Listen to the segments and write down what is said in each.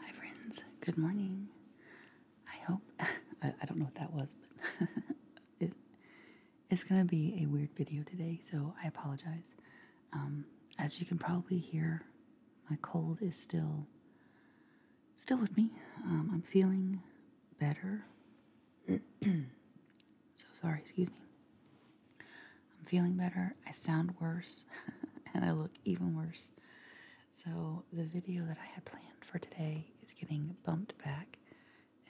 Hi, friends. Good morning. I hope. I, don't know what that was, but it's going to be a weird video today, so I apologize. Um, as you can probably hear, my cold is still still with me. Um, I'm feeling better. so sorry, excuse me. I'm feeling better. I sound worse and I look even worse. So, the video that I had planned for today is getting bumped back,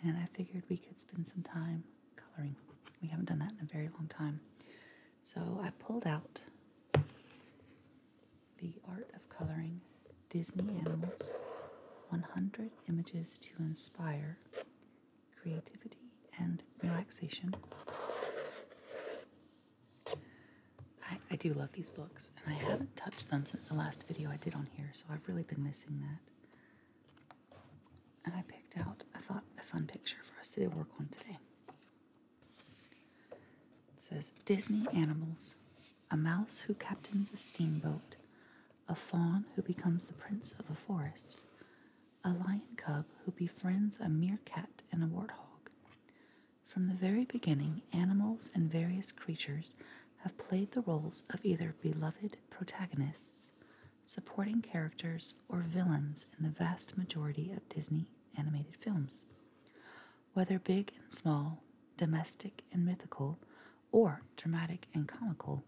and I figured we could spend some time coloring. We haven't done that in a very long time. So, I pulled out the Art of Coloring Disney Animals 100 Images to Inspire Creativity and Relaxation. I, do love these books, and I haven't touched them since the last video I did on here, so I've really been missing that. And I picked out, I thought, a fun picture for us to work on today. It says Disney Animals A mouse who captains a steamboat, a fawn who becomes the prince of a forest, a lion cub who befriends a meerkat and a warthog, from the very beginning, animals and various creatures have played the roles of either beloved protagonists, supporting characters, or villains in the vast majority of Disney animated films. Whether big and small, domestic and mythical, or dramatic and comical,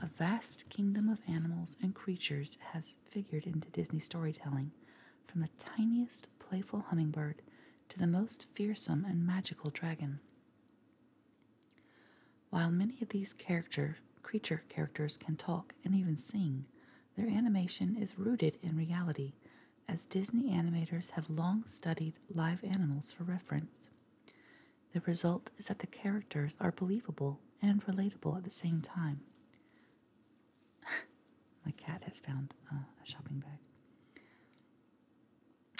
a vast kingdom of animals and creatures has figured into Disney storytelling, from the tiniest playful hummingbird to the most fearsome and magical dragon. While many of these character creature characters can talk and even sing, their animation is rooted in reality, as Disney animators have long studied live animals for reference. The result is that the characters are believable and relatable at the same time. My cat has found a shopping bag.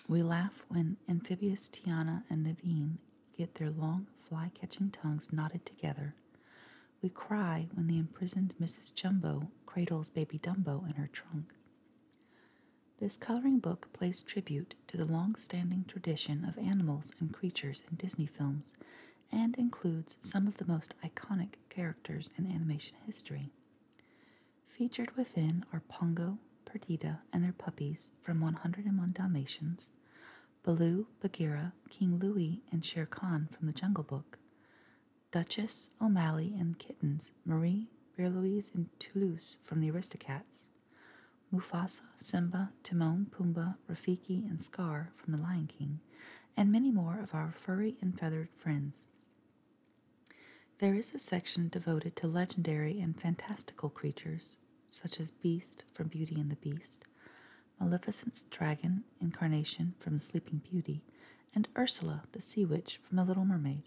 We laugh when amphibious Tiana and Naveen get their long fly catching tongues knotted together. We cry when the imprisoned Mrs. Jumbo cradles baby Dumbo in her trunk. This coloring book pays tribute to the long standing tradition of animals and creatures in Disney films and includes some of the most iconic characters in animation history. Featured within are Pongo, Perdita, and their puppies from 101 Dalmatians, Baloo, Bagheera, King Louie, and Shere Khan from The Jungle Book, Duchess, O'Malley, and Kittens, Marie, Beerlouise, and Toulouse from The Aristocats, Mufasa, Simba, Timon, Pumbaa, Rafiki, and Scar from The Lion King, and many more of our furry and feathered friends. There is a section devoted to legendary and fantastical creatures, such as Beast from Beauty and the Beast, Maleficent's dragon incarnation from Sleeping Beauty, and Ursula the Sea Witch from The Little Mermaid.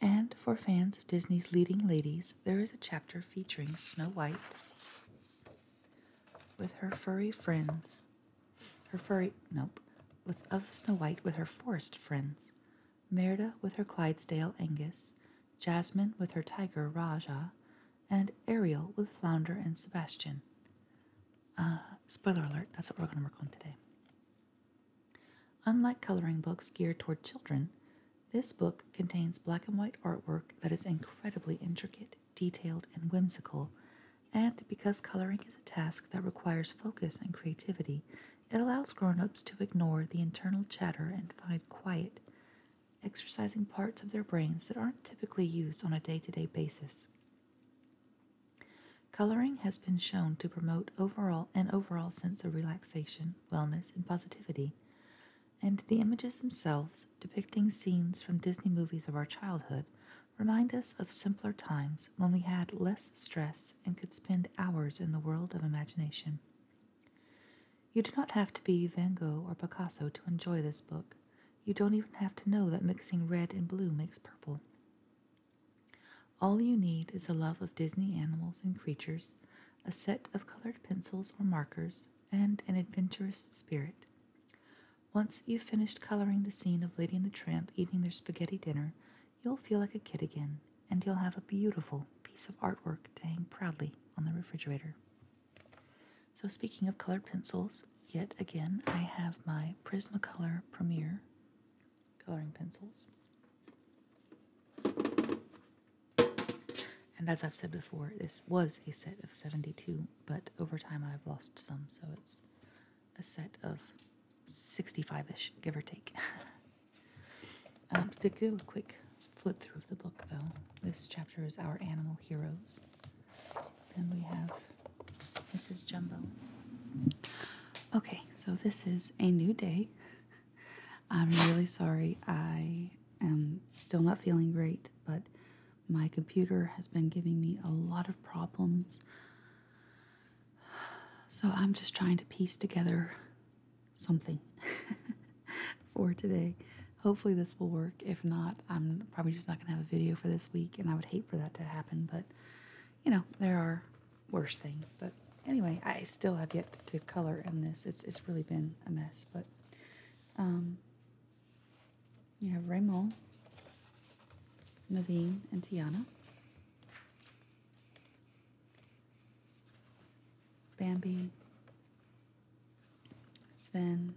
And for fans of Disney's leading ladies, there is a chapter featuring Snow White with her furry friends, her furry nope, with of Snow White with her forest friends, Merida with her Clydesdale Angus, Jasmine with her tiger Raja, and Ariel with Flounder and Sebastian. Ah, spoiler alert, that's what we're going to work on today. Unlike coloring books geared toward children, this book contains black and white artwork that is incredibly intricate detailed, and whimsical, and because coloring is a task that requires focus and creativity, it allows grown ups to ignore the internal chatter and find quiet, exercising parts of their brains that aren't typically used on a day to day basis. Coloring has been shown to promote overall and overall sense of relaxation, wellness, and positivity. And the images themselves, depicting scenes from Disney movies of our childhood, remind us of simpler times when we had less stress and could spend hours in the world of imagination. You do not have to be Van Gogh or Picasso to enjoy this book. You don't even have to know that mixing red and blue makes purple. All you need is a love of Disney animals and creatures, a set of colored pencils or markers, and an adventurous spirit. Once you've finished coloring the scene of Lady and the Tramp eating their spaghetti dinner, you'll feel like a kid again, and you'll have a beautiful piece of artwork to hang proudly on the refrigerator. So, speaking of colored pencils, yet again I have my Prismacolor Premier coloring pencils. And as I've said before, this was a set of 72 but over time I've lost some, so it's a set of 65 ish, give or take. to do a quick flip through of the book, though, this chapter is Our Animal Heroes. and we have Mrs. Jumbo. Okay, so this is a new day. I'm really sorry. I am still not feeling great, but my computer has been giving me a lot of problems. So I'm just trying to piece together something for today. Hopefully, this will work. If not, I'm probably just not going to have a video for this week, and I would hate for that to happen. But, you know, there are worse things. But anyway, I still have yet to color in this. It's, it's really been a mess. But um, you have Raymond, Naveen, and Tiana. Bambi, Sven.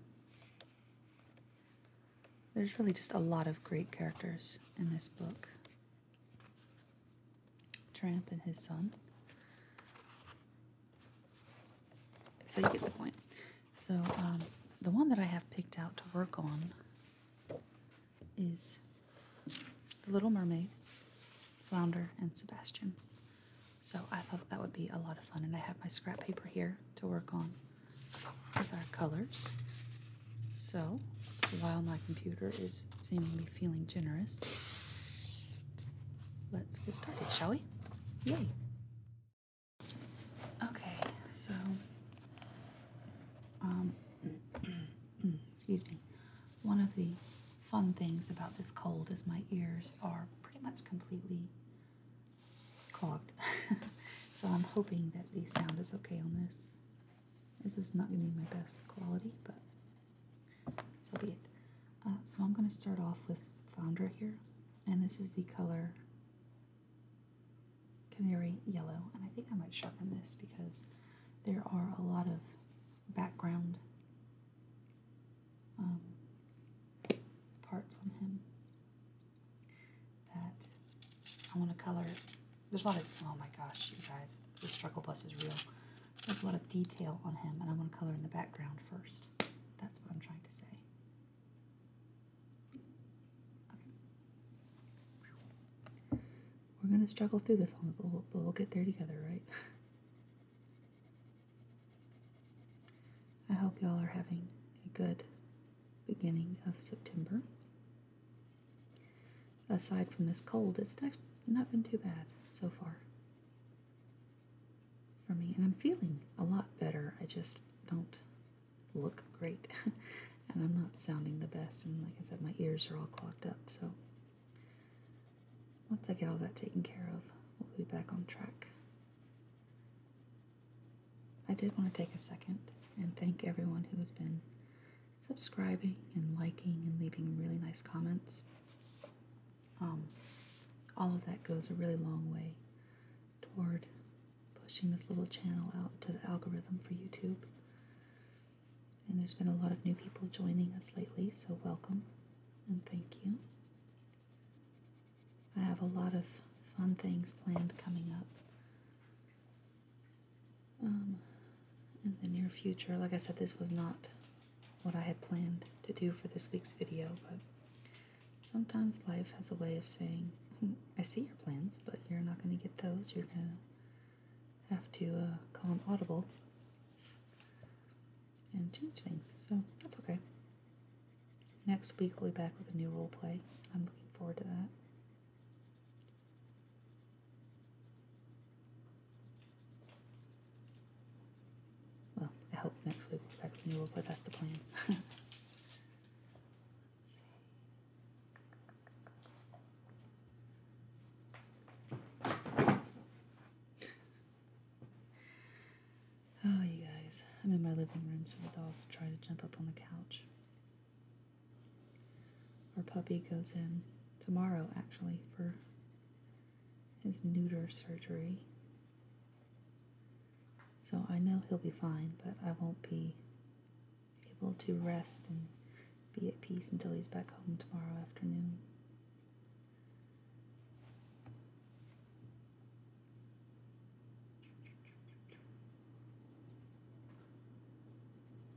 There's really just a lot of great characters in this book. Tramp and his son. So you get the point. So, um, the one that I have picked out to work on is The Little Mermaid, Flounder, and Sebastian. So, I thought that would be a lot of fun, and I have my scrap paper here to work on with our colors. So, while my computer is seemingly feeling generous, let's get started, shall we? Yay! Okay, so, um, excuse me, one of the fun things about this cold is my ears are pretty much completely clogged. so I'm hoping that the sound is okay on this. This is not going to be my best quality, but so be it. Uh, so I'm going to start off with Flounder here, and this is the color canary yellow. And I think I might sharpen this because there are a lot of background um, parts on him that I want to color. There's a lot of, oh my gosh, you guys, this struggle bus is real. There's a lot of detail on him, and I want to color in the background first. That's what I'm trying to say. We're gonna struggle through this one, but we'll, get there together, right? I hope y'all are having a good beginning of September. Aside from this cold, it's not been too bad so far for me, and I'm feeling a lot better. I just don't look great. and I'm not sounding the best, and like I said, my ears are all clogged up. So once I get all that taken care of, we'll be back on track. I did want to take a second and thank everyone who has been subscribing and liking and leaving really nice comments. Um, all of that goes a really long way toward pushing this little channel out to the algorithm for YouTube. And there's been a lot of new people joining us lately, so welcome and thank you. I have a lot of fun things planned coming up um, in the near future. Like I said, this was not what I had planned to do for this week's video, but Sometimes life has a way of saying, hmm, I see your plans, but you're not going to get those. You're going to have to uh, call them audible and change things. So that's okay. Next week, we'll be back with a new role play. I'm looking forward to that. Well, I hope next week we're back with a new role play. That's the plan. Oh, you guys. I'm in my living room, so the dogs try to jump up on the couch. Our puppy goes in tomorrow, actually, for his neuter surgery. So I know he'll be fine, but I won't be able to rest and be at peace until he's back home tomorrow afternoon.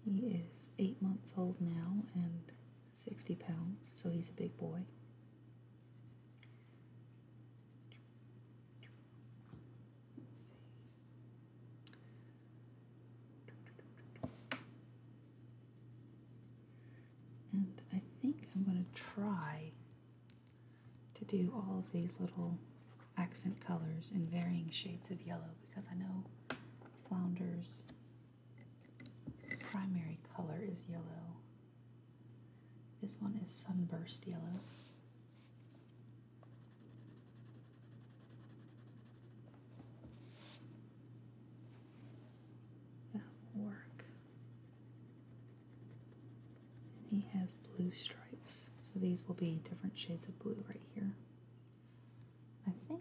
He is eight months old now and 60 pounds, so he's a big boy. And I think I'm going to try to do all of these little accent colors in varying shades of yellow because I know flounder's primary color is yellow. This one is sunburst yellow work. And he has blue stripes. So these will be different shades of blue right here. I think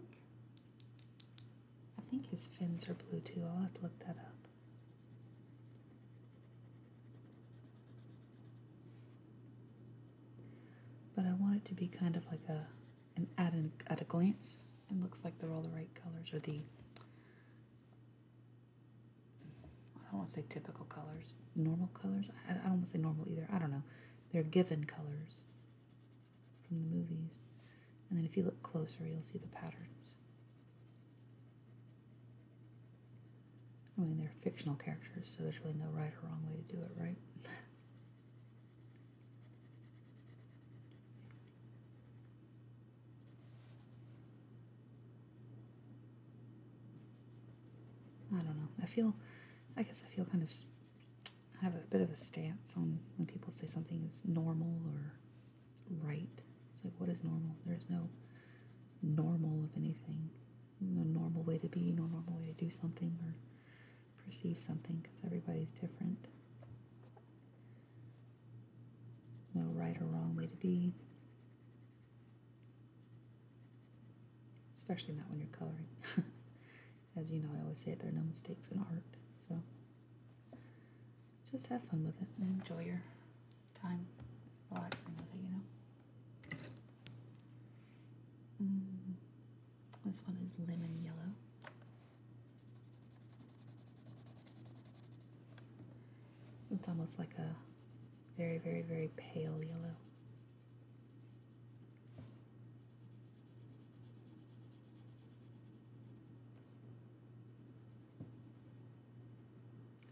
I think his fins are blue too. I'll have to look that up. But I want it to be kind of like a an at an at a glance. It looks like they're all the right colors or the I don't want to say typical colors, normal colors. I, I don't want to say normal either. I don't know. They're given colors from the movies. And then if you look closer, you'll see the patterns. I mean, they're fictional characters, so there's really no right or wrong way to do it, right? I don't know. I feel, I guess I feel kind of, have a bit of a stance on when people say something is normal or right. It's like, what is normal? There's no normal of anything no normal way to be, no normal way to do something or perceive something because everybody's different. No right or wrong way to be, especially not when you're coloring. As you know, I always say there are no mistakes in art, so just have fun with it and enjoy your time relaxing with it, you know. Mm. this one is lemon yellow. It's almost like a very, very, very pale yellow.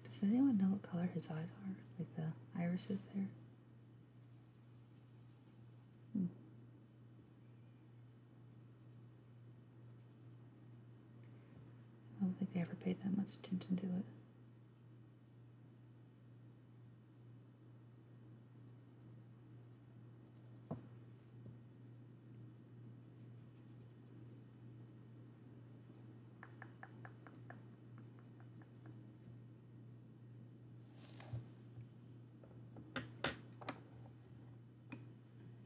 Does anyone know what color his eyes are? Like the irises there? I don't think I ever paid that much attention to it. I'm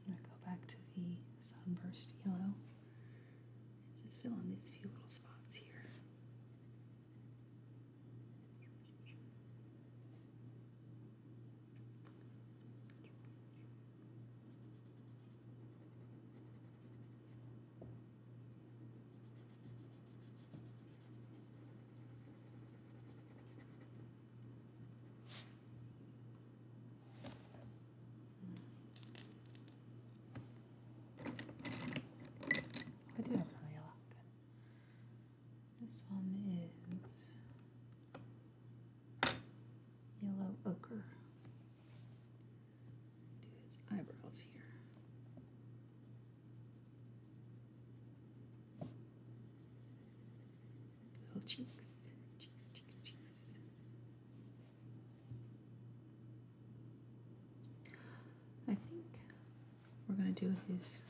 go back to the sunburst yellow just fill in these few little spots here. I do have another yellow gun. This one is yellow ochre do his eyebrows here. Little cheeks, cheeks, cheeks, cheeks. I think we're going to do his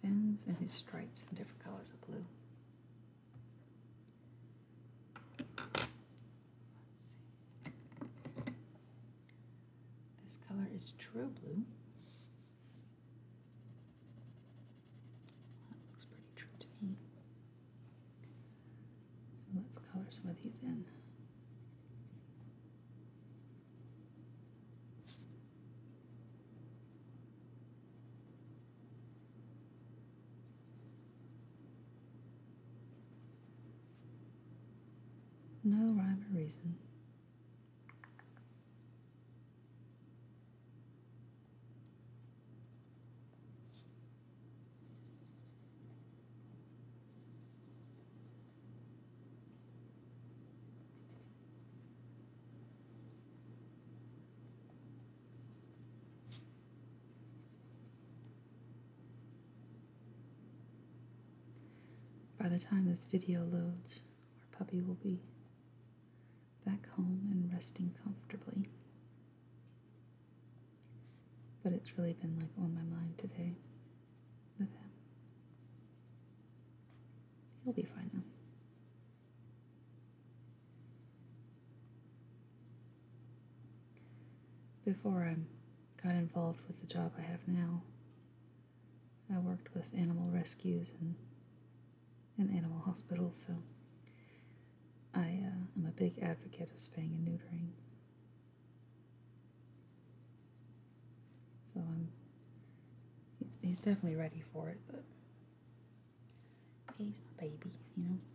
fins and his stripes in different colors of blue. Let's see. This color is true blue. That looks pretty true to me. So let's color some of these in. No rhyme or reason. By the time this video loads, our puppy will be back home and resting comfortably. But it's really been like on my mind today with him. He'll be fine though. Before I got involved with the job I have now, I worked with animal rescues and in animal hospitals, so I am uh, a big advocate of spaying and neutering. So I'm he's, he's definitely ready for it, but he's my baby, you know.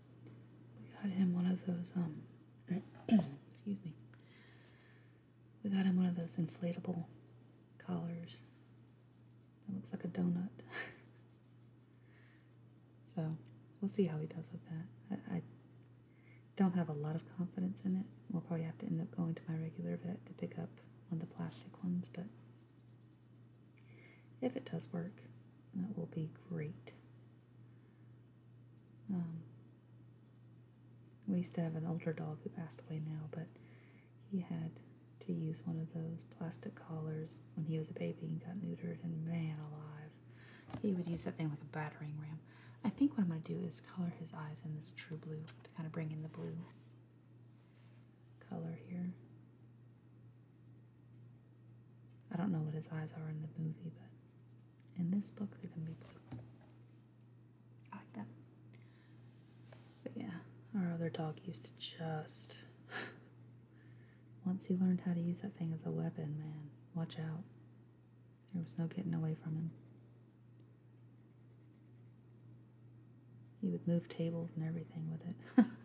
We got him one of those, um, excuse me. We got him one of those inflatable collars that looks like a donut. so we'll see how he does with that. I, I don't have a lot of confidence in it. We'll probably have to end up going to my regular vet to pick up one of the plastic ones, but if it does work, that will be great. Um, we used to have an older dog who passed away now, but he had to use one of those plastic collars when he was a baby and got neutered, and man alive, he would use that thing like a battering ram. I think what I'm going to do is color his eyes in this true blue to kind of bring in the blue color here. I don't know what his eyes are in the movie, but in this book, they're gonna be blue. I like that. But yeah, our other dog used to just. Once he learned how to use that thing as a weapon, man, watch out. There was no getting away from him. He would move tables and everything with it.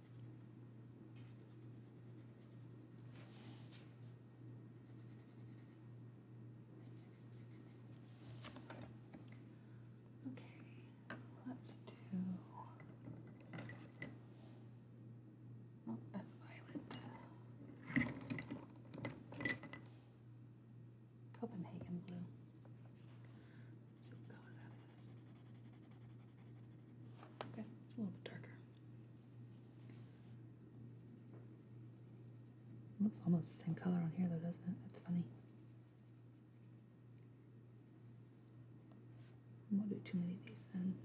Okay, let's do. Oh, that's Violet. Copenhagen blue. Okay, it's a little bit darker. Looks almost the same color on here though, doesn't it? That's funny. I will do too many of these then.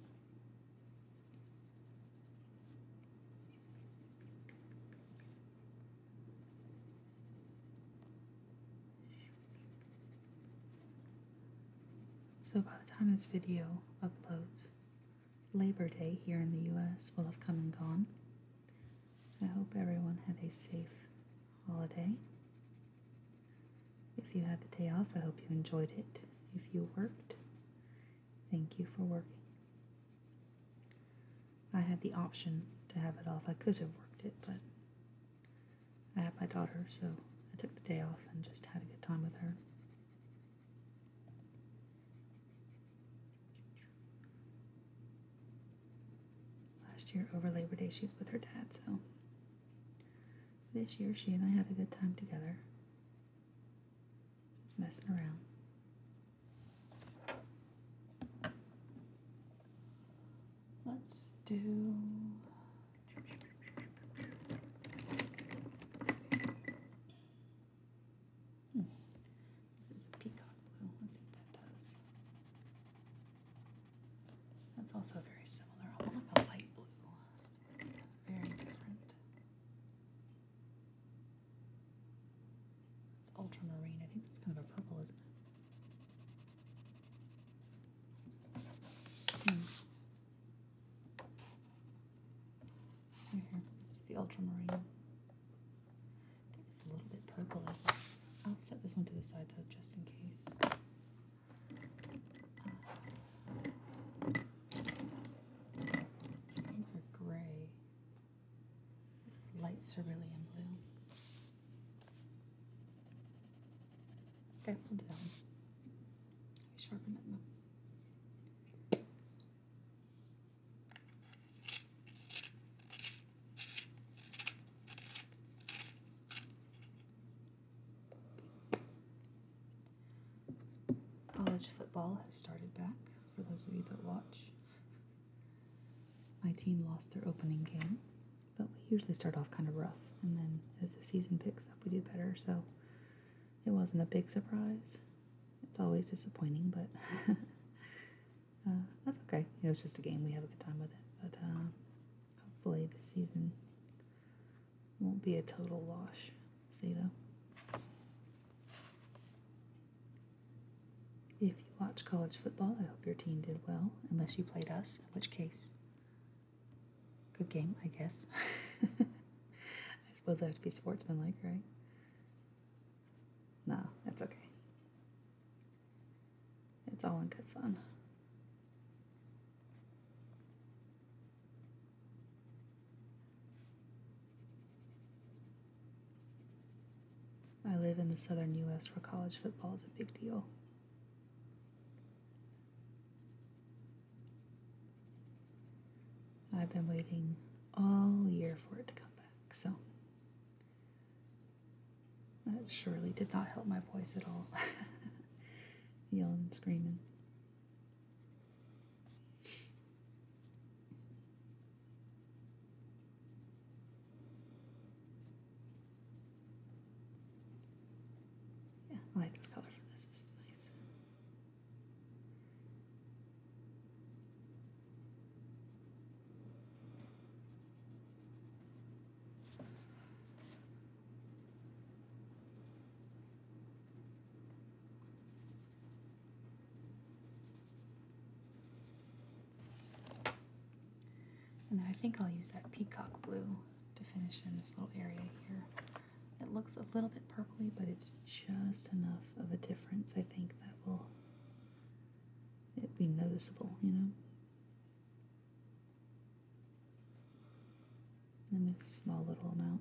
So by the time this video uploads, Labor Day here in the US will have come and gone. I hope everyone had a safe holiday. If you had the day off, I hope you enjoyed it. If you worked, thank you for working. I had the option to have it off. I could have worked it, but I had my daughter, so I took the day off and just had a good time with her. Last year, over Labor Day, she was with her dad, so this year she and I had a good time together. Just messing around. Let's do this is a peacock blue. Let's see what that does. That's also very similar. I want like a light blue. that's very different. It's ultramarine. I think that's kind of a purple, isn't it? Hmm here, this is the ultramarine. I think it's a little bit purple. I'll set this one to the side though, just in case. These are gray. This is light cerulean blue. Okay, we'll sharpen it up. College football has started back, for those of you that watch. My team lost their opening game, but we usually start off kind of rough, and then as the season picks up, we do better. So it wasn't a big surprise. It's always disappointing, but uh, that's okay. You know, it's just a game. We have a good time with it. But uh, hopefully, this season won't be a total wash. See, though. If you watch college football, I hope your team did well, unless you played us, in which case, Good game, I guess. I suppose I have to be sportsmanlike, right? No, that's okay. It's all in good fun. I live in the southern US where college football is a big deal. I've been waiting all year for it to come back, so that surely did not help my voice at all. Yelling and screaming. Yeah, I like this color for this. This is nice. And then I think I'll use that peacock blue to finish in this little area here. It looks a little bit purpley, but it's just enough of a difference, I think, that will it be noticeable, you know. in this small little amount.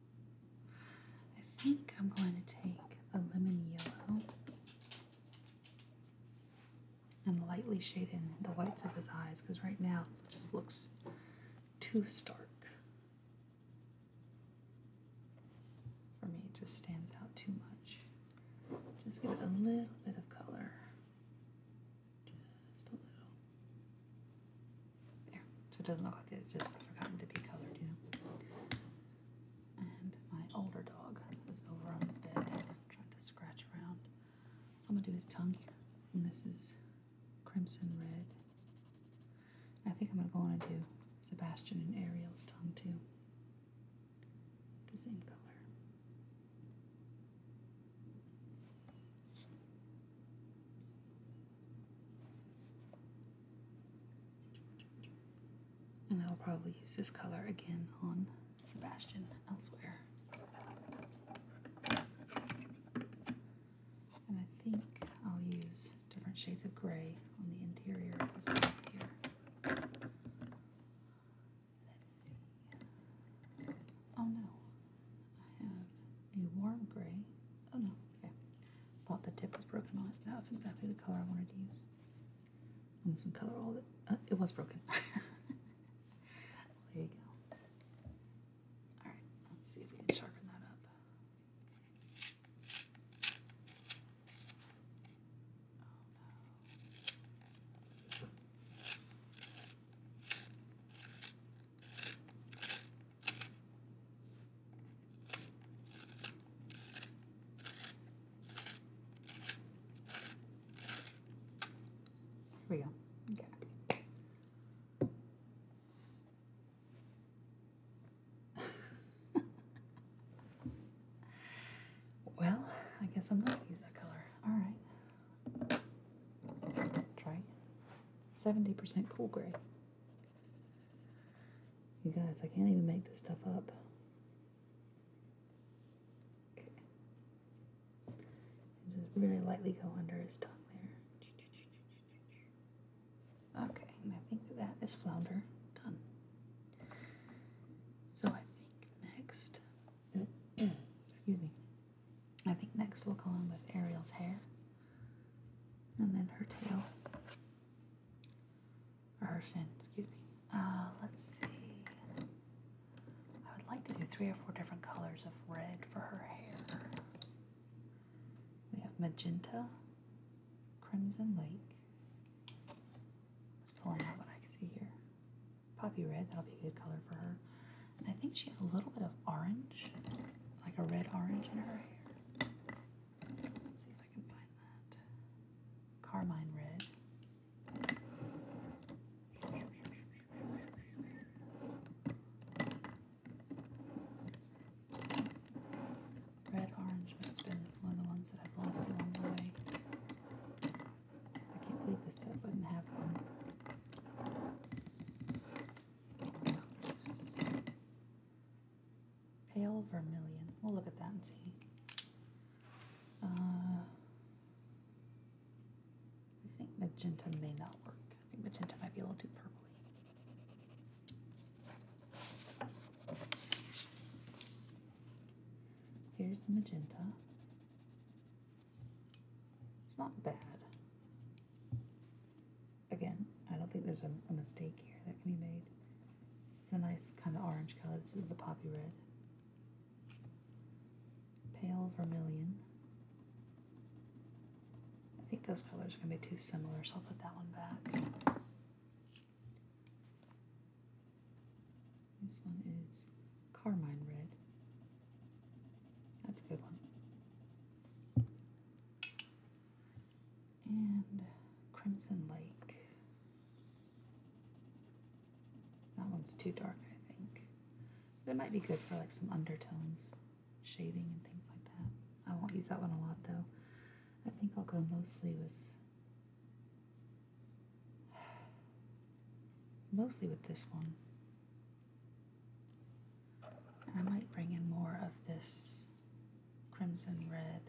I think I'm going to take a lemon yellow and lightly shade in the whites of his eyes because right now it just looks too stark. For me, it just stands out too much. Just give it a little bit of color. Just a little. There. So it doesn't look like it's just forgotten to be colored, you know. And my older dog is over on his bed trying to scratch around. So I'm going to do his tongue And this is crimson red. I think I'm going to go on and do Sebastian and Ariel's tongue too. The same color. And I'll probably use this color again on Sebastian elsewhere. And I think I'll use different shades of gray on the interior of this mouth here. Let's see. Oh no, I have a warm gray. Oh no. Okay. Thought the tip was broken on it. That was exactly the color I wanted to use. I'm And some color all the. Uh, it was broken. there you go. Alright, let's see if we can sharpen that up. Here we go. Okay. well, I guess I'm not going to use that color. All right. Try 70% cool gray. You guys, I can't even make this stuff up. Okay. And just really lightly go under his tongue there. Okay, and I think that is flounder. Done. So I think next, excuse me, I think next we'll go on with Ariel's hair and then her tail or her fin, excuse me. Uh, let's see. I would like to do three or four different colors of red for her hair. We have magenta, crimson lake. Just pulling out what I can see here. Poppy red, that'll be a good color for her. And I think she has a little bit of orange, like a red orange in her hair. Carmine Red. Red Orange must been one of the ones that I've lost along the way. I can't believe this set wouldn't have one. Pale vermilion. We'll look at that and see. Uh, I think magenta may not work. I think magenta might be a little too purpley. Here's the magenta. It's not bad again, I don't think there's a, mistake here that can be made. This is a nice kind of orange color. This is the poppy red. Pale vermilion. I think those colors are going to be too similar, so I'll put that one back. This one is carmine red. That's a good one and Crimson Lake. That one's too dark, I think. But it might be good for like some undertones, shading, and things like that. I won't use that one a lot though. I think I'll go mostly with. Mostly with this one. I might bring in more of this crimson red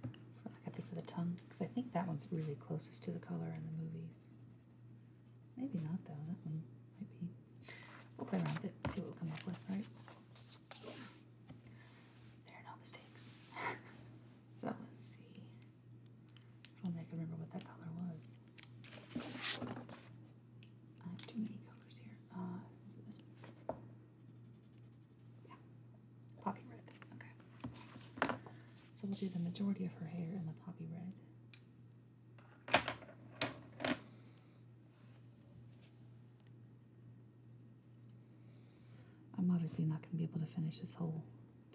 for, like I did for the tongue, because I think that one's really closest to the color in the movies. Maybe not, though. That one might be. We'll play around with it, see what we come up with, right? There are no mistakes. so let's see. If only I can remember what that color was. I have too many colors here. Uh, is it this one? Poppy red. Okay. So we'll do the majority of her hair in the poppy red. I'm obviously not going to be able to finish this whole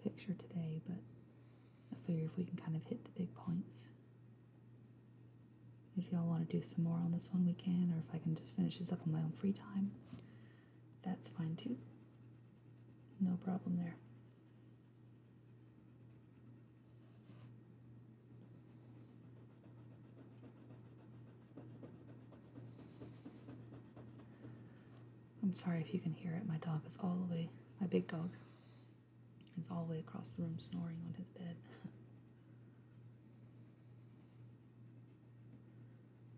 picture today, but I figure if we can kind of hit the big points. If y'all want to do some more on this one, we can, or if I can just finish this up on my own free time, that's fine too. No problem there. I'm sorry if you can hear it. My dog is all the way, my big dog is all the way across the room snoring on his bed.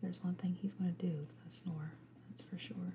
There's one thing he's going to do, it's going to snore, that's for sure.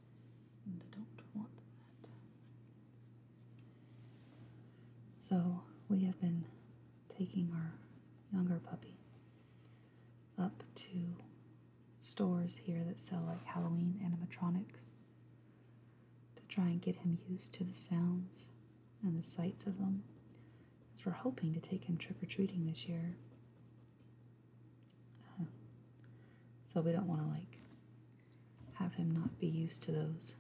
I don't want that. So we have been taking our younger puppy up to stores here that sell like Halloween animatronics to try and get him used to the sounds and the sights of them. as we're hoping to take him trick or treating this year. Uh, so we don't want to like have him not be used to those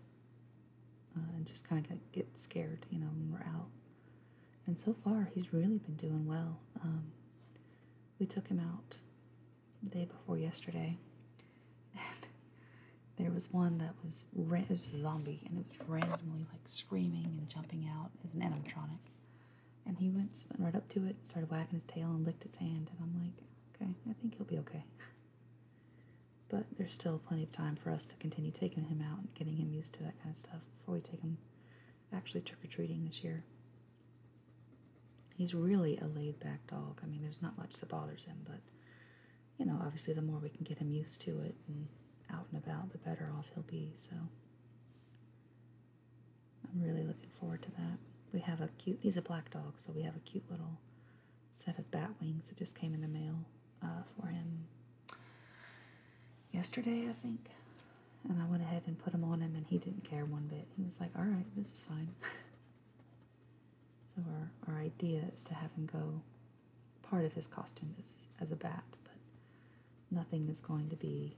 uh, and just kind of get scared, you know, when we're out. And so far, he's really been doing well. Um, we took him out the day before yesterday. And there was one that was, it was a zombie and it was randomly like screaming and jumping out as an animatronic. And he went, went right up to it, and started wagging his tail and licked its hand. And I'm like, okay, I think he'll be okay. But there's still plenty of time for us to continue taking him out and getting him used to that kind of stuff before we take him actually trick or treating this year. He's really a laid back dog. I mean, there's not much that bothers him, but you know, obviously, the more we can get him used to it and out and about, the better off he'll be. So, I'm really looking forward to that. We have a cute, he's a black dog, so we have a cute little set of bat wings that just came in the mail uh, for him yesterday, I think. And I went ahead and put them on him, and he didn't care one bit. He was like, all right, this is fine. so our, our idea is to have him go, part of his costume is as a bat, but nothing is going to be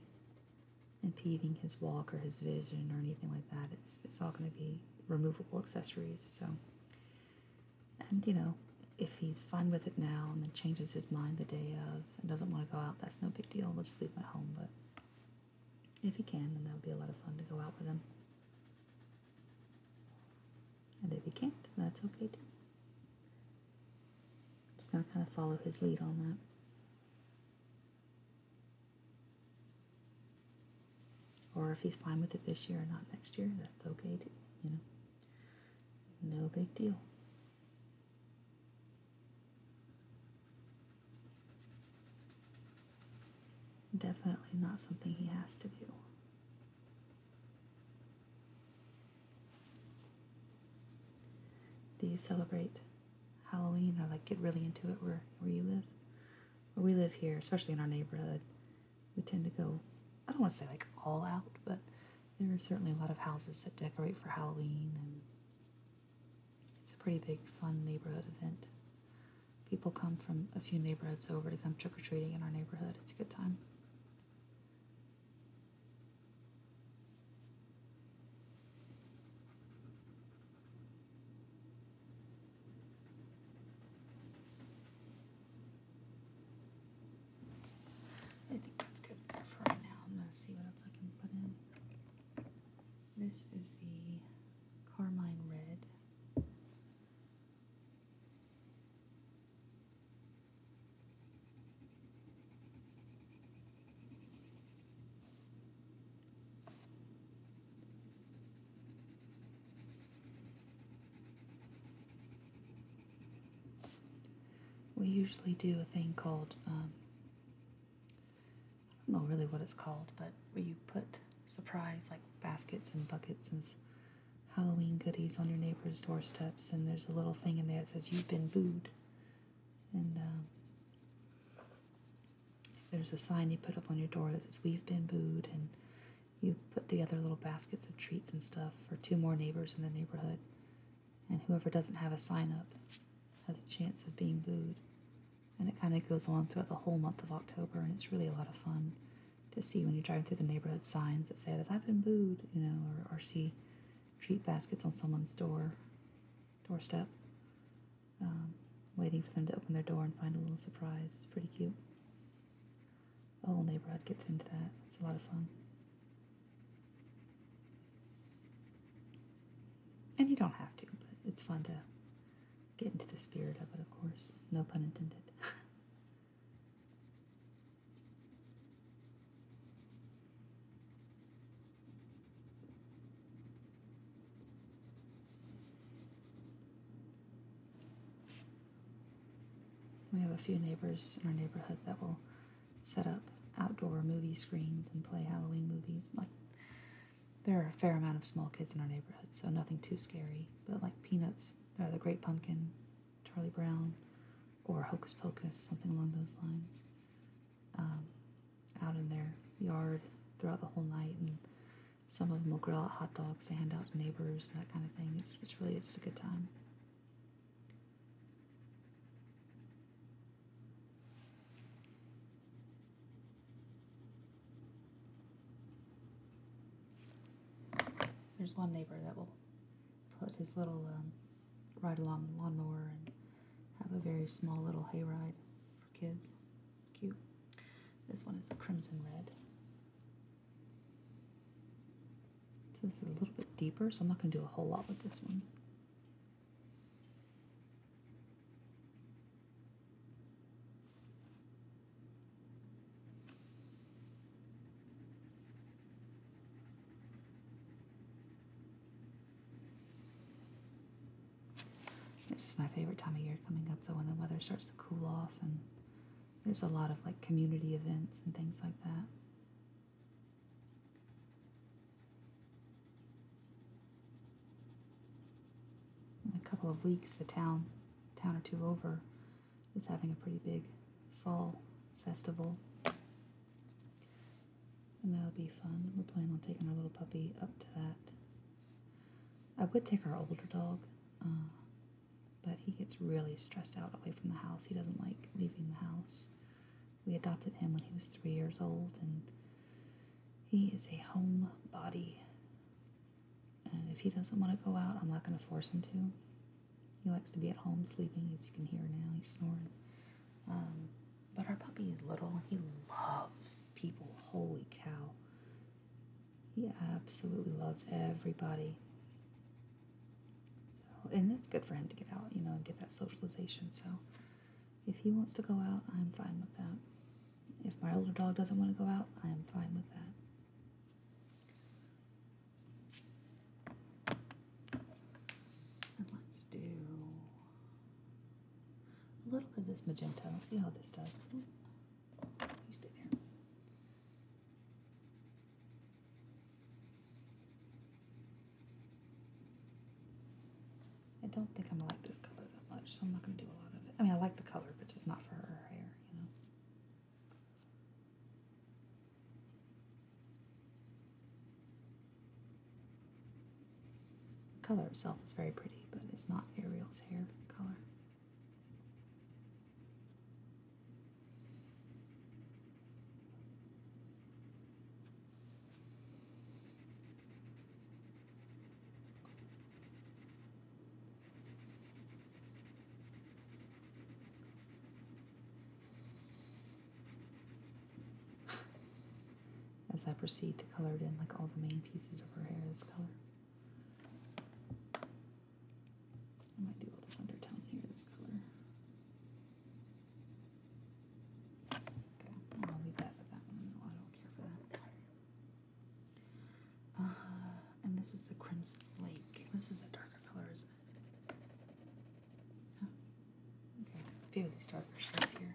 impeding his walk or his vision or anything like that. It's it's all going to be removable accessories. So, and you know, if he's fine with it now and then changes his mind the day of and doesn't want to go out, that's no big deal. We'll just leave him at home. But if he can, then that would be a lot of fun to go out with him. And if he can't, that's okay too. I'm just gonna kind of follow his lead on that. Or if he's fine with it this year and not next year, that's okay too, you know. No big deal. Definitely not something he has to do. Do you celebrate Halloween. I like get really into it where where you live, where we live here, especially in our neighborhood. We tend to go. I don't want to say like all out, but there are certainly a lot of houses that decorate for Halloween, and it's a pretty big fun neighborhood event. People come from a few neighborhoods over to come trick or treating in our neighborhood. It's a good time. I think that's good there for now. I'm going to see what else I can put in. This is the Carmine Red. We usually do a thing called, um, I don't know really what it's called, but where you put surprise like baskets and buckets of Halloween goodies on your neighbor's doorsteps, and there's a little thing in there that says, You've been booed. And um, there's a sign you put up on your door that says, We've been booed, and you put together little baskets of treats and stuff for two more neighbors in the neighborhood. And whoever doesn't have a sign up has a chance of being booed. And it kind of goes on throughout the whole month of October, and it's really a lot of fun to see when you're driving through the neighborhood signs that say that I've been booed, you know, or, or see treat baskets on someone's door doorstep. Um, waiting for them to open their door and find a little surprise. It's pretty cute. The whole neighborhood gets into that. It's a lot of fun. And you don't have to, but it's fun to get into the spirit of it, of course. No pun intended. We have a few neighbors in our neighborhood that will set up outdoor movie screens and play Halloween movies. Like, there are a fair amount of small kids in our neighborhood, so nothing too scary. But like Peanuts, or The Great Pumpkin, Charlie Brown, or Hocus Pocus, something along those lines um, out in their yard throughout the whole night, and some of them will grill out hot dogs to hand out to neighbors and that kind of thing. It's, it's really just a good time. There's one neighbor that will put his little um, ride along lawnmower and have a very small little hay ride for kids. It's cute. This one is the crimson red. So this is a little bit deeper, so I'm not going to do a whole lot with this one. This is my favorite time of year coming up, though, when the weather starts to cool off and there's a lot of like community events and things like that. In a couple of weeks, the town, town or two over, is having a pretty big fall festival and that'll be fun. We're planning on taking our little puppy up to that. I would take our older dog, uh, but he gets really stressed out away from the house. He doesn't like leaving the house. We adopted him when he was three years old, and he is a homebody. And if he doesn't want to go out, I'm not going to force him to. He likes to be at home sleeping, as you can hear now. He's snoring. Um, but our puppy is little. He loves people. Holy cow. He absolutely loves everybody. So, and it's good for him to get out, you know, and get that socialization. So, if he wants to go out, I'm fine with that. If my older dog doesn't want to go out, I am fine with that. let's do a little bit of this magenta. Let's see how this does. You stay there. I don't think I'm gonna like this color that much, so I'm not gonna do a lot of it. I mean, I like the color, but just not for her hair, you know. The color itself is very pretty, but it's not Ariel's hair color as I proceed to color it in like all the main pieces of her hair this color. I might do all this undertone here this color. Okay, I'll leave that for that one. I don't care for that. Uh, and this is the Crimson Lake. This is a darker color, isn't it? Okay, a few of these darker shades here.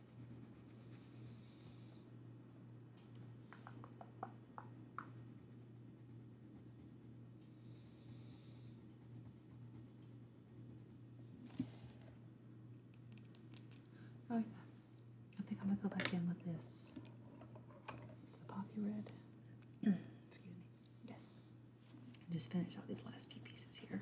Oh yeah, I think I'm gonna go back in with this. It's the poppy red. Excuse me. Yes. Just finish out these last few pieces here.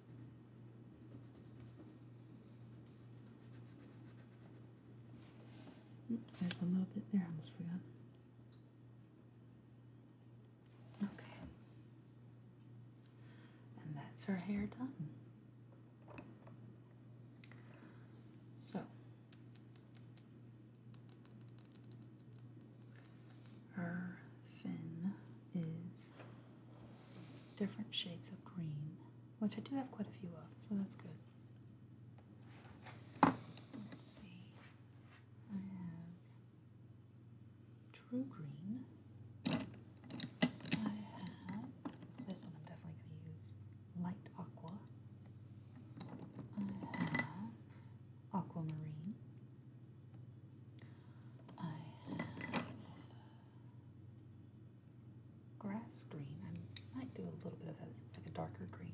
there's a little bit there, I almost forgot. Okay. And that's her hair done. So, her fin is different shades of green, which I do have quite a few of, so that's good. Let's see. I have true green. I have this one I'm definitely going to use light aqua. I have aquamarine. I have grass green. I might do a little bit of that. It's like a darker green.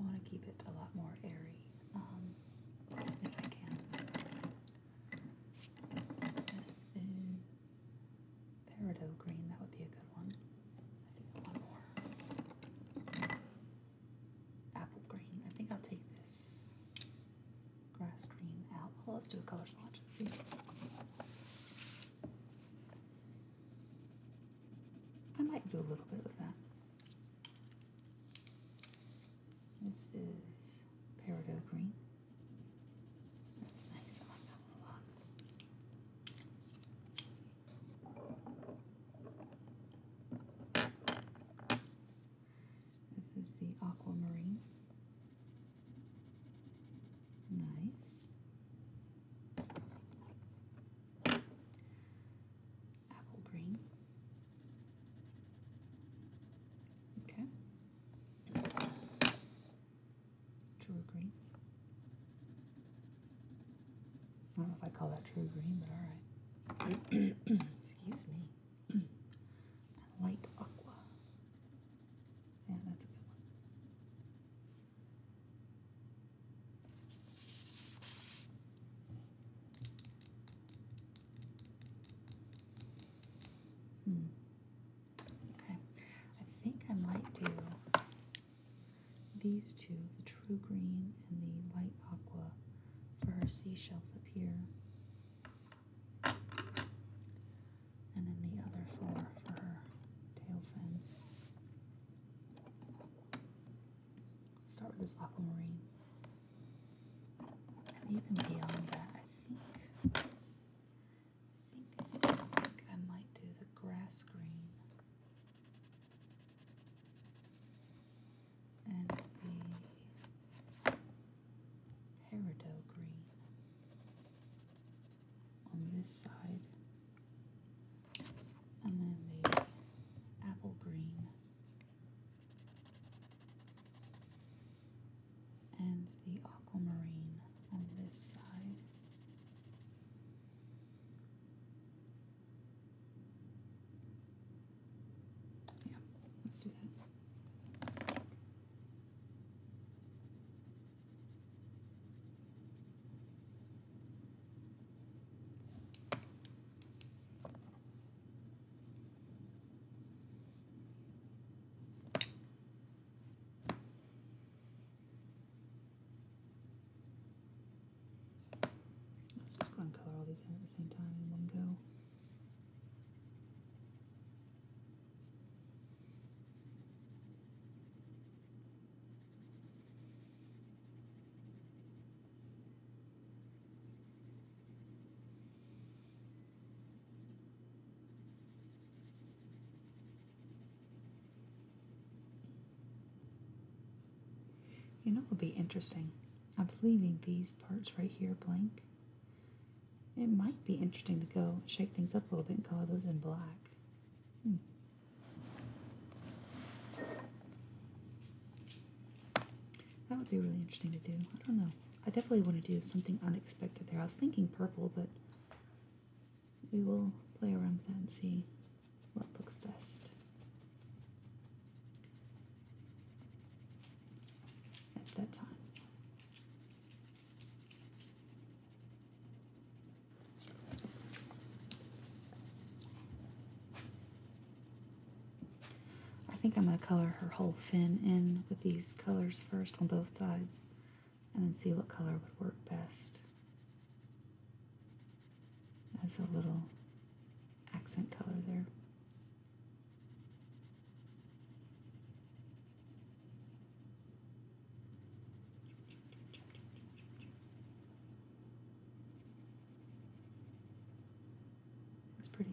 I want to keep it a lot more airy um, if I can. This is peridot green. That would be a good one. I think I want more. Apple green. I think I'll take this grass green apple. Oh, let's do a color swatch and see. I might do a little bit with that. This is peridot green. That's nice. I like that a lot. This is the aquamarine. Nice. Apple green. Okay. True green. I don't know if I call that true green, but alright. Excuse me. I aqua. Yeah, that's a good one. Hmm. Okay, I think I might do these two the true green and the light aqua for her seashells up here and then the other four for her tail fin. Let's start with this aquamarine. And even beyond that, I think, think I might do the grass green. And the peridot green on this side, and then the apple green, and the aquamarine on this side. Yeah, let's do that. Let's just go and color all these in at the same time in one go. You know it will be interesting? I'm leaving these parts right here blank it might be interesting to go shake things up a little bit and color those in black. Hmm. That would be really interesting to do. I don't know. I definitely want to do something unexpected there. I was thinking purple, but we will play around with that and see what looks best. At that time. I think I'm going to color her whole fin in with these colors first on both sides and then see what color would work best as a little accent color there. It's pretty.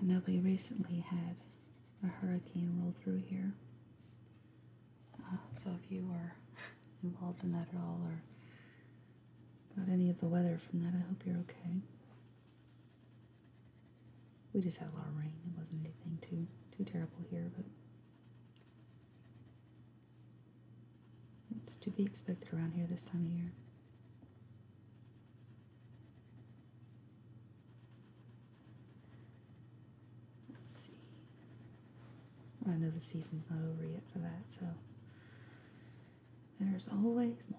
I know we recently had a hurricane roll through here. Uh, so if you are involved in that at all or got any of the weather from that, I hope you're okay. We just had a lot of rain. It wasn't anything too too terrible here, but it's to be expected around here this time of year. Let's see. I know the season's not over yet for that, so there's always more.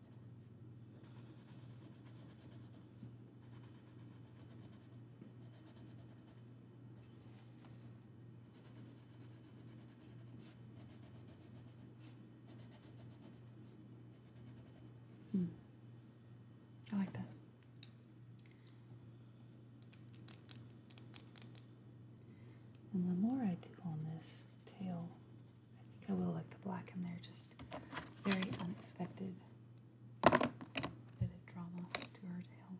Mm. I like that. And the more I do on this tail I think I will like the black in there, just very unexpected bit of drama to her tail.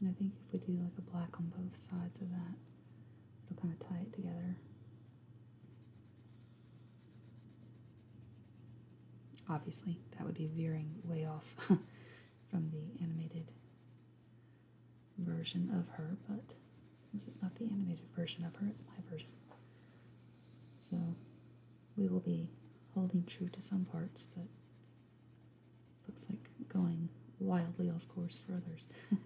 And I think if we do like a black on both sides of that, it'll kind of tie it together. Obviously, that would be veering way off from the animated version of her, but this is not the animated version of her, it's my version. So we will be holding true to some parts, but looks like going wildly off course for others.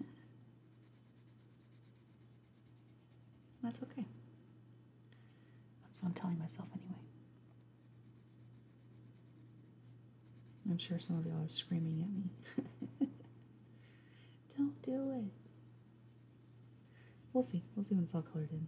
That's okay. That's what I'm telling myself anyway. I'm sure some of y'all are screaming at me. Don't do it. We'll see. We'll see when it's all colored in.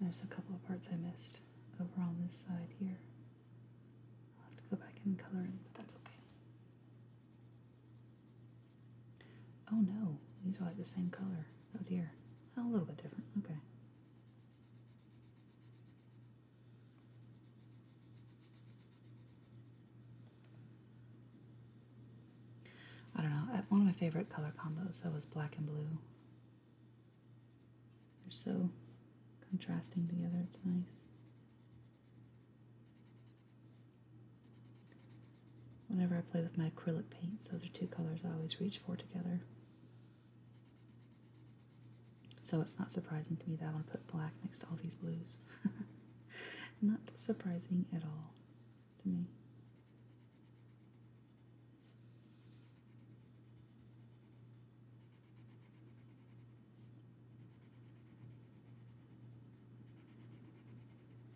There's a couple of parts I missed over on this side here. I'll have to go back and color in, but that's okay. Oh no, these are like the same color. Oh dear. Oh, a little bit different. Okay. I don't know. One of my favorite color combos, though, is black and blue. They're so contrasting together, it's nice. Whenever I play with my acrylic paints, those are two colors I always reach for together. So it's not surprising to me that I want to put black next to all these blues. not surprising at all to me.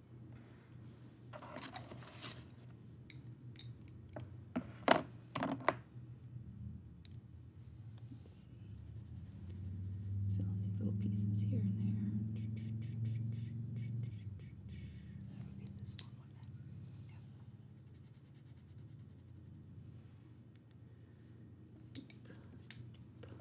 Let's see. Fill in these little pieces here and there. That would be this one, wouldn't it? Yeah. Doop, doop, doop, doop, doop.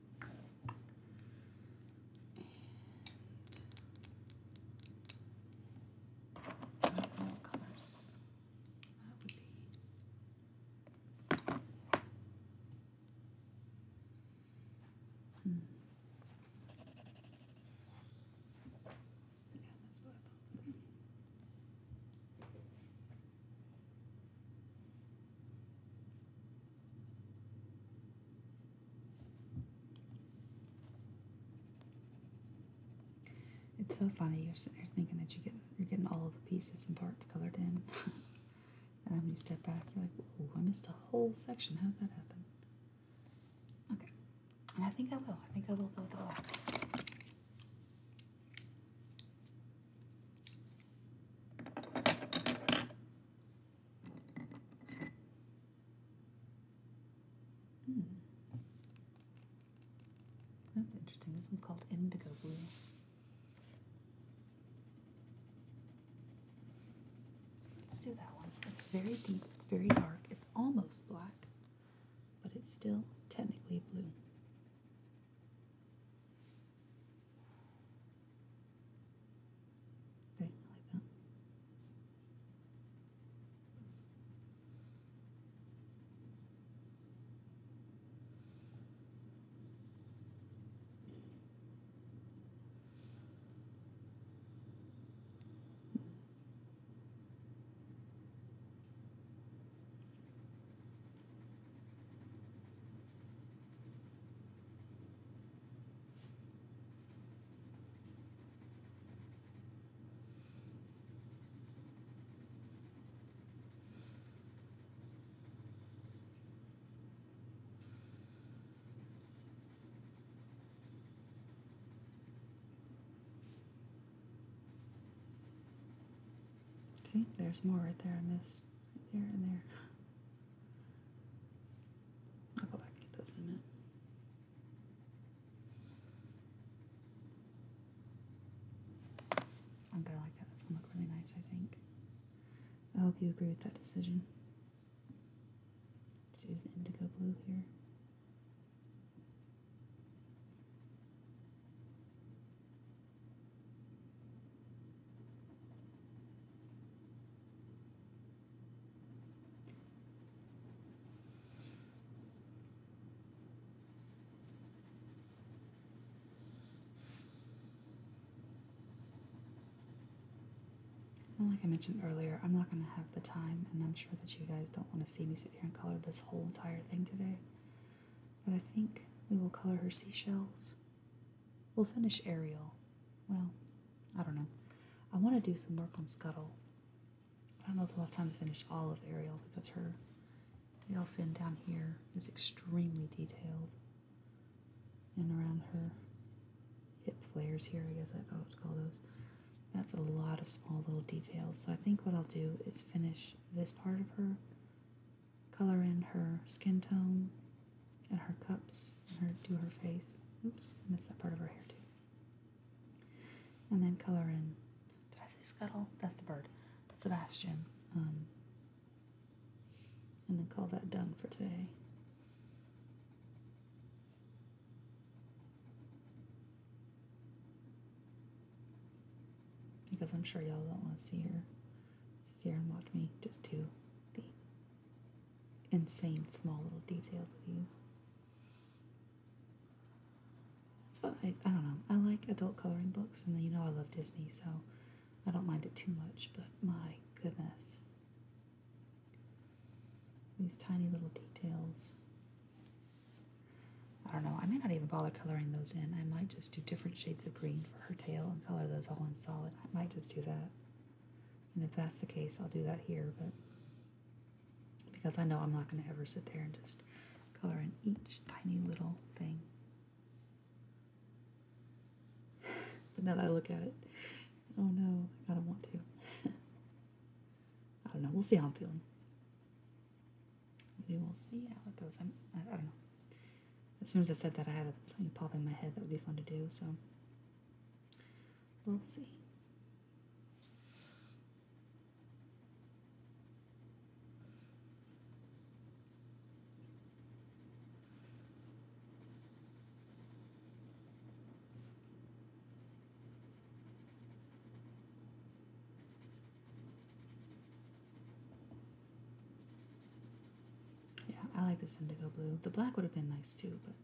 And no colors. That would be Hmm. Yeah, that's what it's so funny. You're sitting there thinking that you get you're getting all the pieces and parts colored in, and then when you step back, you're like, "Whoa, I missed a whole section. How did that happen?" Okay, and I think I will. I think I will go with the black. Hmm. That's interesting. This one's called Indigo Blue. Let's do that one. It's very deep, it's very dark, it's almost black, but it's still technically blue. Okay, I like that. See, there's more right there. I missed right there and there. I'll go back and get those in a minute. I'm oh, gonna like that. That's gonna look really nice, I think. I hope you agree with that decision. use the indigo blue here like I mentioned earlier, I'm not going to have the time, and I'm sure that you guys don't want to see me sit here and color this whole entire thing today. But I think we will color her seashells We'll finish Ariel. Well, I don't know. I want to do some work on Scuttle. I don't know if i will have time to finish all of Ariel because her tail fin down here is extremely detailed. And around her hip flares here, I guess I don't know what to call those. That's a lot of small little details. So I think what I'll do is finish this part of her, color in her skin tone, and her cups and her to her face. Oops, missed that part of her hair too. And then color in. Did I say scuttle? That's the bird. Sebastian. Um, and then call that done for today. Because I'm sure y'all don't want to see her sit here and watch me just do the insane small little details of these. That's what I, I don't know. I like adult coloring books, and you know I love Disney, so I don't mind it too much, but my goodness. These tiny little details. I don't know, I may not even bother coloring those in. I might just do different shades of green for her tail and color those all in solid. I might just do that. And if that's the case, I'll do that here, but because I know I'm not going to ever sit there and just color in each tiny little thing. but now that I look at it, oh no, I kind of want to. I don't know. We'll see how I'm feeling. We will see how it goes. i I don't know. As soon as I said that, I had something pop in my head that would be fun to do, so We'll see. Yeah, I like this indigo blue. The black would have been nice too, but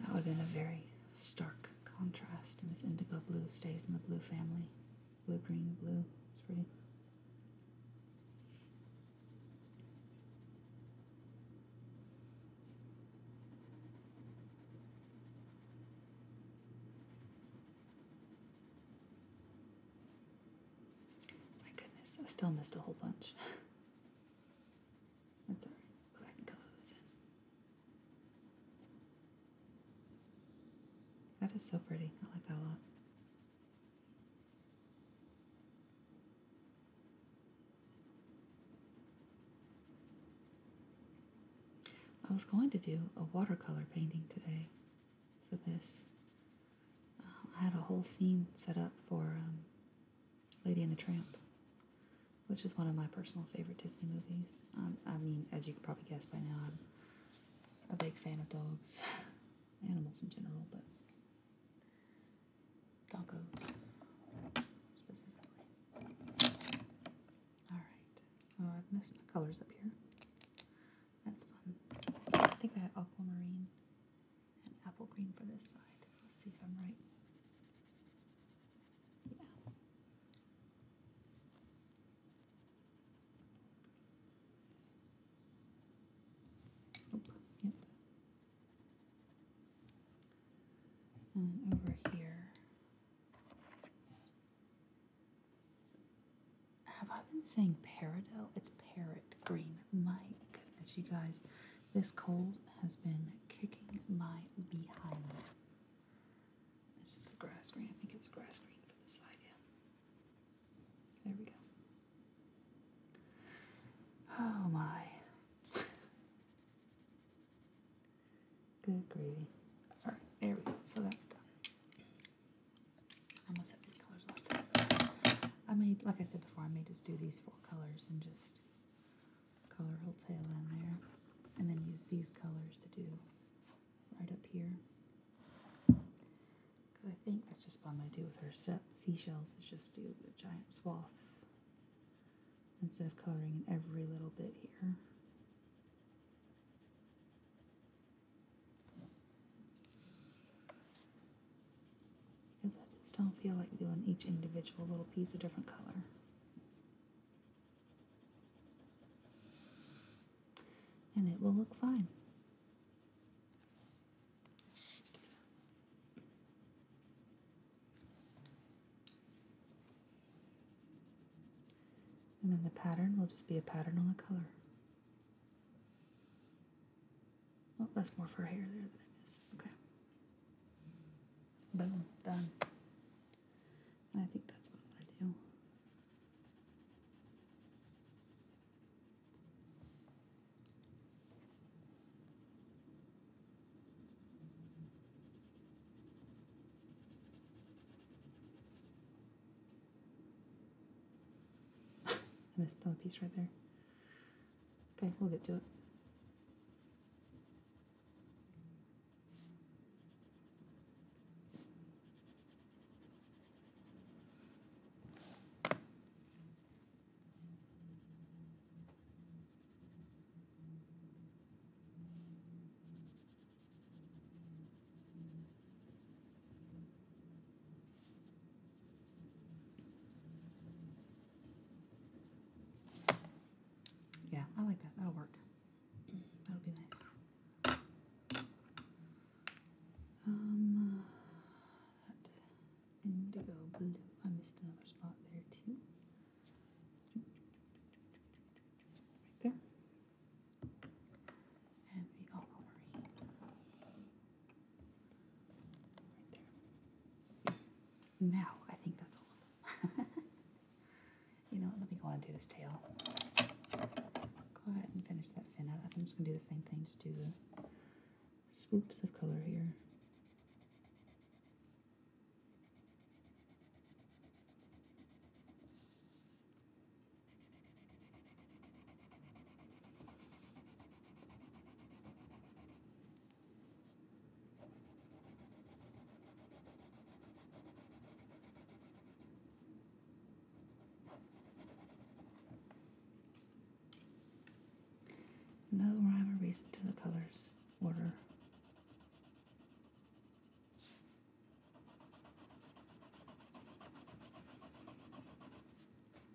that would have been a very stark contrast. And this indigo blue stays in the blue family. Blue, green, blue. It's pretty. My goodness, I still missed a whole bunch. That's alright. Go ahead and color those in. That is so pretty. I like that a lot. I was going to do a watercolor painting today for this, I had a whole scene set up for um, Lady and the Tramp, which is one of my personal favorite Disney movies. Um, I mean, as you can probably guess by now, I'm a big fan of dogs, animals in general, but doggos specifically. Alright, so I've messed my colors up here. That's fun. I think I had aquamarine and apple green for this side. Let's see if I'm right. Yeah. Nope. Yep. And mm, over here. have I been saying peridot? It's parrot green. My as you guys, this cold has been kicking my behind. This is the grass green. I think it was grass green for the side, yeah. There we go. Oh my. Good gravy. Alright, there we go. So that's done. I'm gonna set these colors off to the side. I may, like I said before, I may just do these for colors and just color her tail in there and then use these colors to do right up here because I think that's just what I'm going to do with her seashells is just do the giant swaths instead of coloring in every little bit here. Because I just don't feel like doing each individual little piece a different color. And it will look fine. And then the pattern will just be a pattern on the color. Well, that's more for hair there that I missed. Okay. Boom. Done. I think that's all i do. I missed another piece right there. Okay, we'll get to it. Yeah, I like that. That'll work. That'll be nice. Um, indigo blue. I missed another spot there too. Right there. And the aquamarine. Now, I think that's all of them. you know Let me go on and do this tail. Go ahead and finish that fin out. I I'm just going to do the same thing. Just do the swoops of color here. No rhyme or reason to the colors order.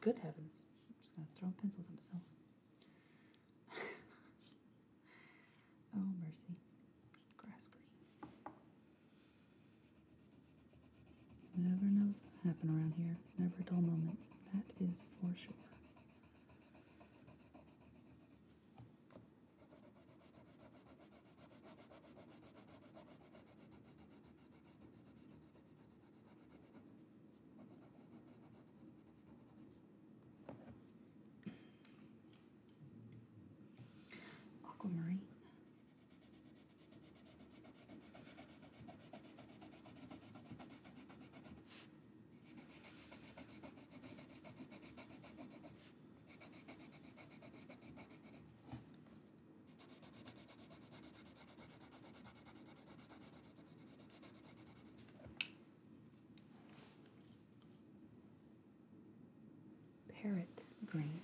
Good heavens. I'm just going to throw pencils at myself. oh, mercy. Grass green. You never know what's going to happen around here. It's never a dull moment. That is for sure. Aquamarine. Parrot green.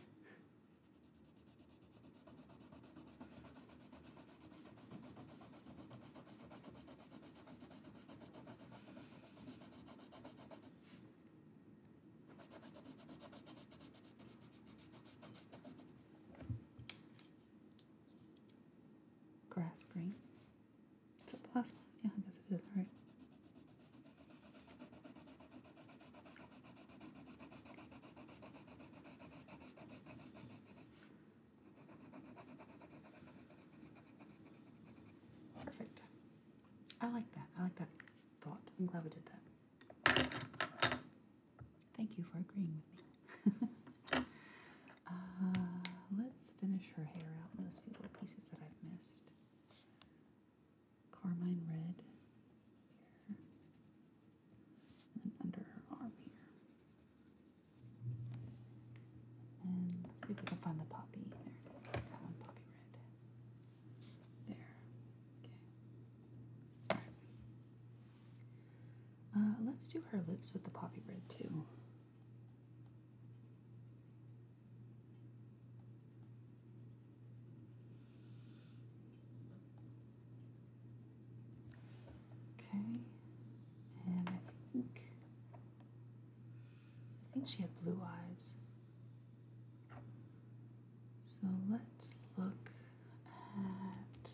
Grass green. Is that the last one? Yeah, I guess it is, All right. Perfect. I like that. I like that thought. I'm glad we did that. Thank you for agreeing with me. Uh, let's finish her hair out those few little pieces that I've missed. Carmine red under her arm here. And let's see if we can find the poppy. There it is. poppy red. There. Okay. All right. Uh, let's do her lips with the poppy red too. Okay, and I think I think she had blue eyes. So let's look at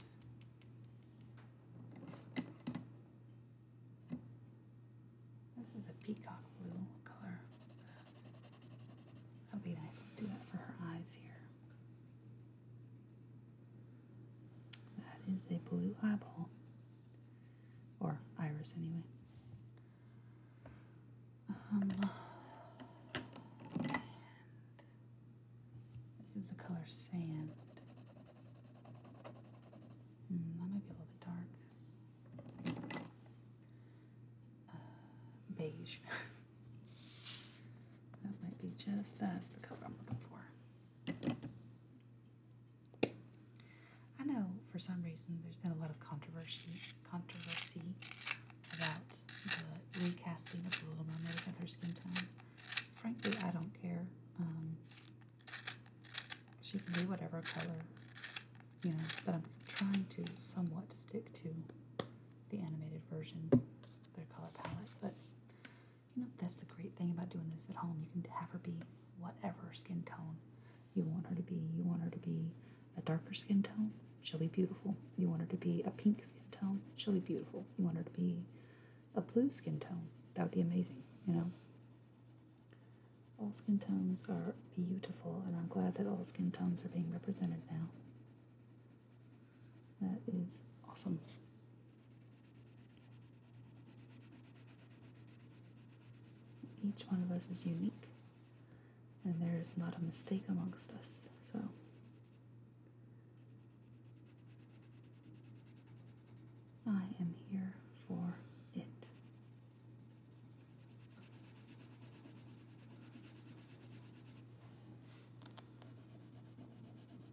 this is a peacock blue color. That'd be nice. Let's do that for her eyes here. That is a blue eyeball. Or iris, anyway. Um, this is the color sand. Hmm, that might be a little bit dark. Uh, beige. That might be just us. the color I'm looking for. I know for some reason there's been a lot of controversy about the recasting of the Little Mermaid with her skin tone. Frankly, I don't care. Um, she can do whatever color, you know, but I'm trying to somewhat stick to the animated version, their color palette. But you know, that's the great thing about doing this at home. You can have her be whatever skin tone you want her to be. You want her to be a darker skin tone, she'll be beautiful. You want her to be a pink skin tone, she'll be beautiful. You want her to be a blue skin tone, that would be amazing, you know? All skin tones are beautiful, and I'm glad that all skin tones are being represented now. That is awesome. Each one of us is unique, and there is not a mistake amongst us, so. I am here for it.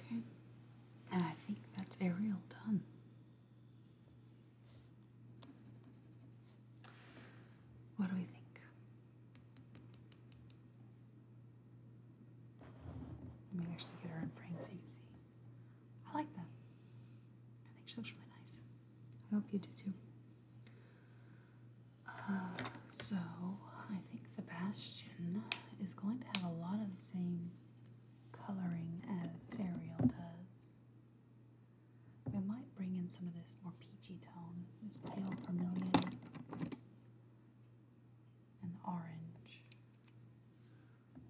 Okay. And I think that's Ariel done. What do we think? Let me actually get her in frame so you can see. I like that. I think she looks really nice. I hope you do too. Uh, so, I think Sebastian is going to have a lot of the same coloring as Ariel does. We might bring in some of this more peachy tone, this pale vermilion and orange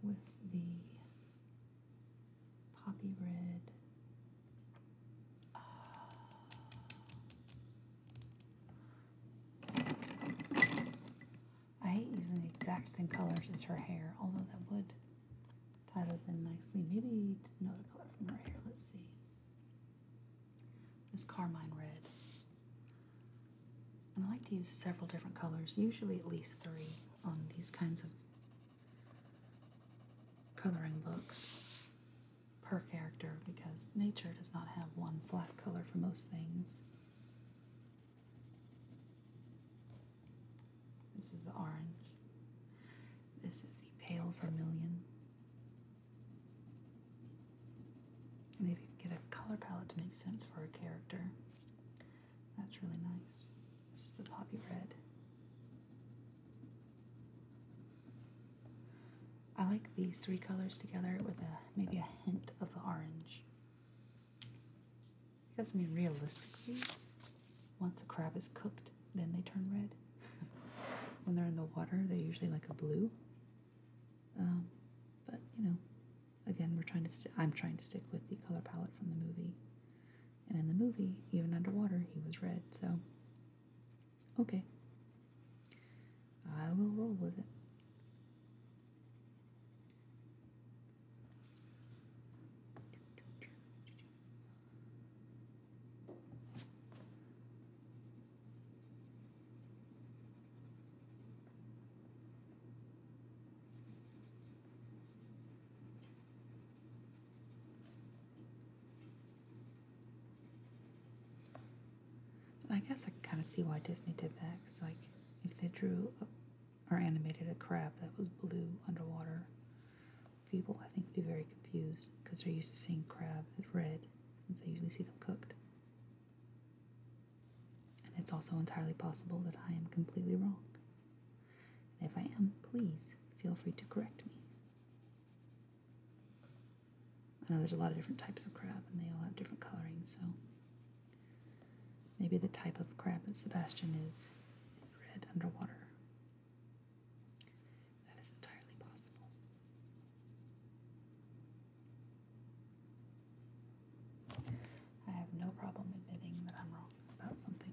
with the poppy red uh, I hate using the exact same colors as her hair, although that would tie those in nicely. Maybe another color from her hair. Let's see. This Carmine Red. And I like to use several different colors, usually at least three, on these kinds of coloring books per character because nature does not have one flat color for most things. This is the orange. This is the pale vermilion. Maybe if you get a color palette to make sense for a character, that's really nice. This is the poppy red. I like these three colors together with a maybe a hint of the orange. Because I mean realistically, once a crab is cooked, then they turn red. when they're in the water, they're usually like a blue. Um, but you know, again, we're trying to. i I'm trying to stick with the color palette from the movie, and in the movie, even underwater, he was red. So Okay. I will roll with it. I guess I kind of see why Disney did that. Because, like, if they drew or animated a crab that was blue underwater, people, I think, would be very confused because they're used to seeing crab as red since they usually see them cooked. And it's also entirely possible that I am completely wrong. if I am, please feel free to correct me. I know there's a lot of different types of crab and they all have different colorings. so maybe the type of crab that Sebastian is red underwater. That is entirely possible. I have no problem admitting that I'm wrong about something.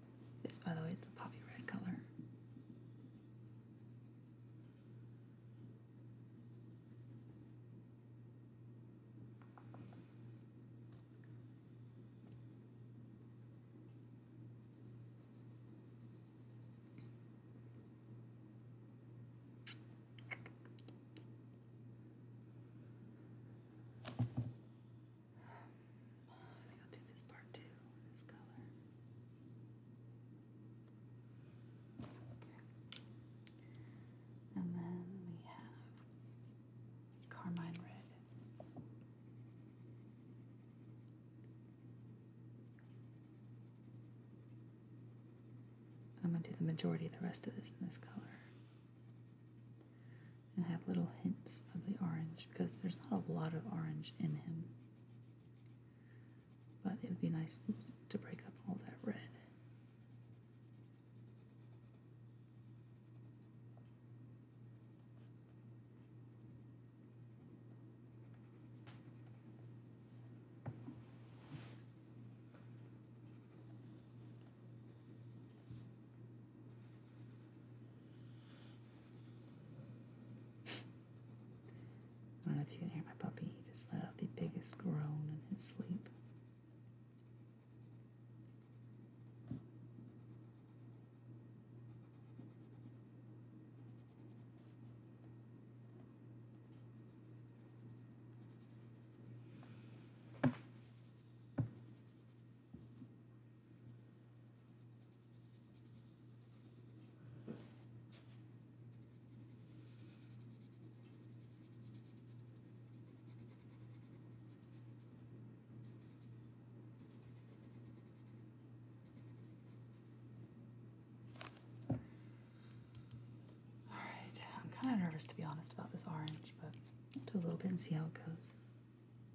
This, by the way, is the poppy red color. I think I'll do this part too, this color. Okay. And then we have Carmine Red. I'm going to do the majority of the rest of this in this color and have little hints of the orange because there's not a lot of orange in him. But it would be nice to break up all that red. I don't know if you can hear my puppy. He just let out the biggest groan in his sleep right, I'm kind of nervous to be honest about this orange, but do a little bit and see how it goes.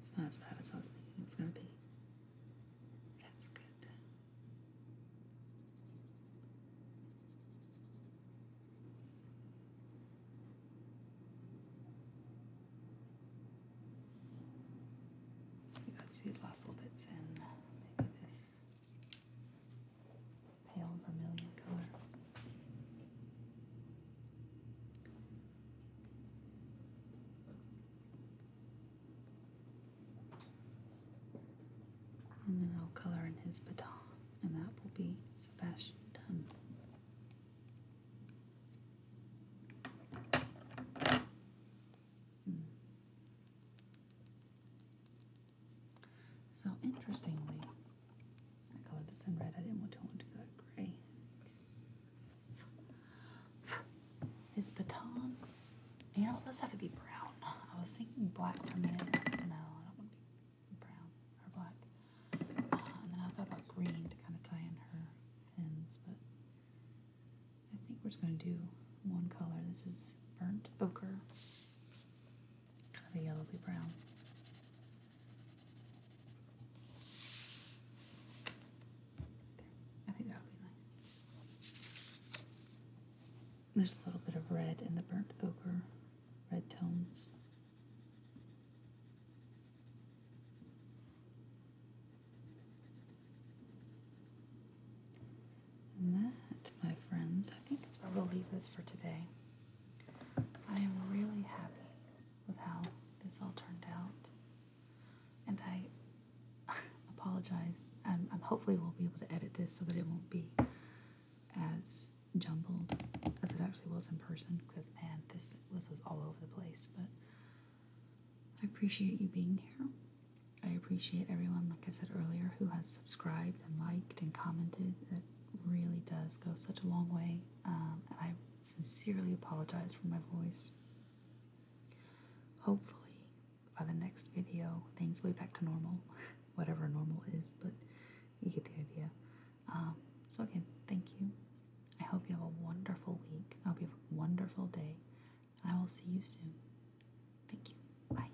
it's not as bad as I was thinking it's going to be. That's good. We got these last little bits in. Maybe this pale vermilion color. And then I'll color in his baton, and that will be Sebastian Dunn. Hmm. So interestingly, I colored this in red. I didn't want to want to gray. His baton. You know, it does have to be brown. I was thinking black for a minute. no, I don't want to be brown or black. Uh, and then I thought about green to kind of tie in her fins, but I think we're just going to do one color. This is burnt ochre, kind of a yellowy brown. I think that'll be nice. There's a little bit of red in the burnt ochre, red tones. And that, my friends, I think is where we'll leave this for today. I am really happy with how this all turned out. And I apologize. I'm, Hopefully, we will be able to edit this so that it won't be as jumbled as it actually was in person. Because man, this was all over the place. But I appreciate you being here. I appreciate everyone, like I said earlier, who has subscribed and liked and commented. It really does go such a long way um, and I sincerely apologize for my voice. Hopefully, by the next video, things will be back to normal, whatever normal is, but you get the idea. Um, so, again, thank you. I hope you have a wonderful week. I hope you have a wonderful day. I will see you soon. Thank you. Bye.